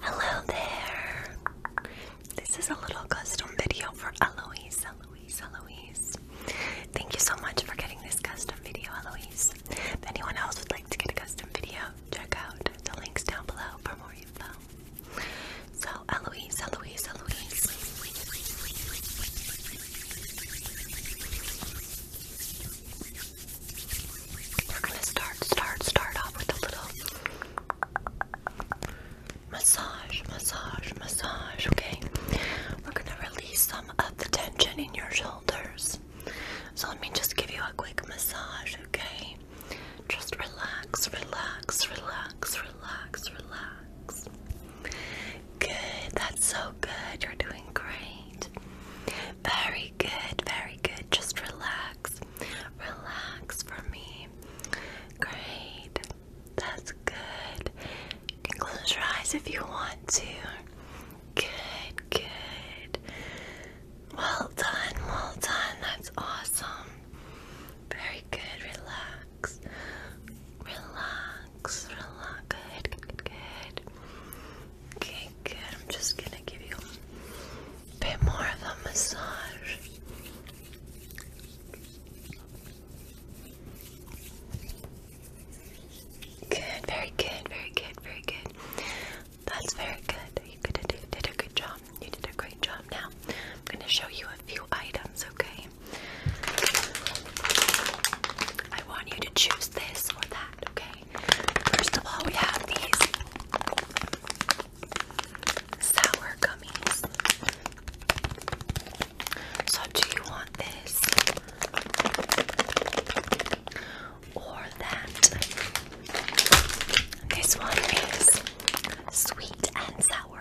Hello there. This is a little custom video for Eloise. Eloise, Eloise. Thank you so much for getting this custom video, Eloise. If anyone else would like to get a custom video, check out the links down below for more info. So, Eloise, Eloise, Eloise. We're gonna start, start, start off with a little massage, massage, massage, okay? We're gonna release some of the tension in your shoulders. So, let me just give you a quick massage, okay? Just relax, relax, relax, relax, relax. Good, that's so good. You're doing great. Very good, very good. Just relax. Relax for me. Great. That's good. You can close your eyes if you want to. Good, good. Well done, well done. That's awesome. Very good, relax relax, relax, relax. Good, good, good. Okay, good. I'm just gonna give you a bit more of a massage. Good, very good, very good, very good. That's very good. You did a good job. You did a great job. Now, I'm going to show you a few items, okay? I want you to choose this or that, okay? First of all, we have these sour gummies. So, do you want this or that? This one is sweet and sour. Do you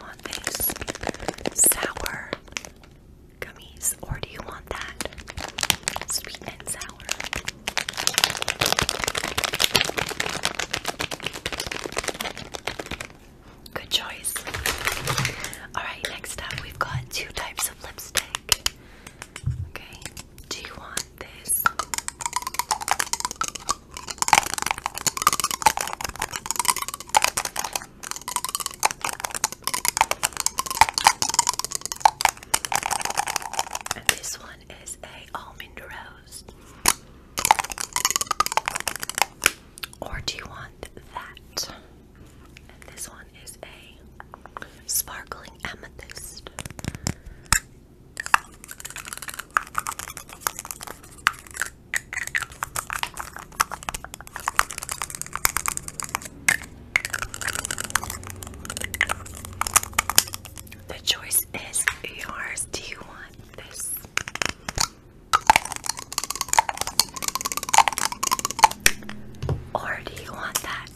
want these sour gummies or do you want that sweet and sour? Good choice. Alright, next up we've got two types of lipstick. Okay, do you want this? And this one is a almond rose. Or do you want that? And this one is a sparkling amethyst. The choice is yours. Do you want this? Or do you want that?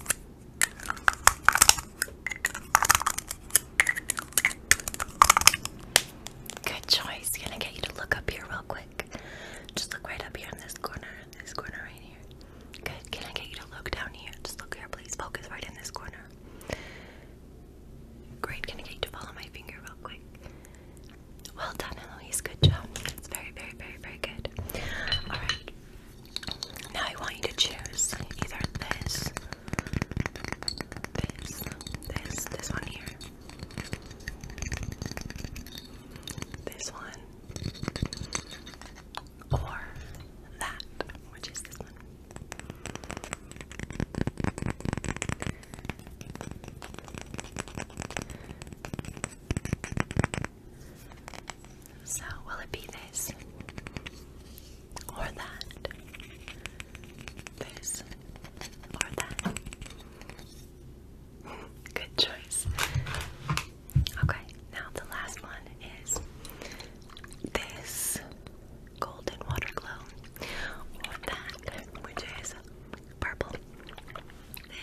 Good choice. Gonna get you to look up here real quick. Just look right up here in this corner, this corner right here. Good. Can I get you to look down here? Just look here, please. Focus right in this corner. Great. Can I get you to follow my finger real quick? Well done, Eloise. Good job. That's very, very, very, very good. All right. Now I want you to choose either this, this, this, this one here, this one, or that, which is this one. So, will it be this? Or that? This? Or that? Good choice. Okay, now the last one is this golden water glow, or that, which is purple.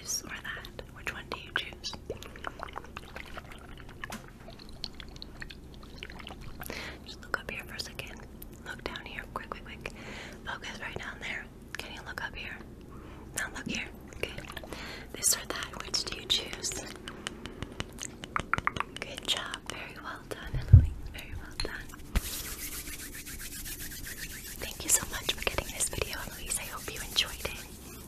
This or that? Which one do you choose? Just look up here for a second. Look down here. Quick, quick, quick. Focus right down there. Can you look up here? Now look here. Okay. This or that, which do you choose? Good job. Very well done, Emily. Very well done. Thank you so much for getting this video, Eloise. I hope you enjoyed it.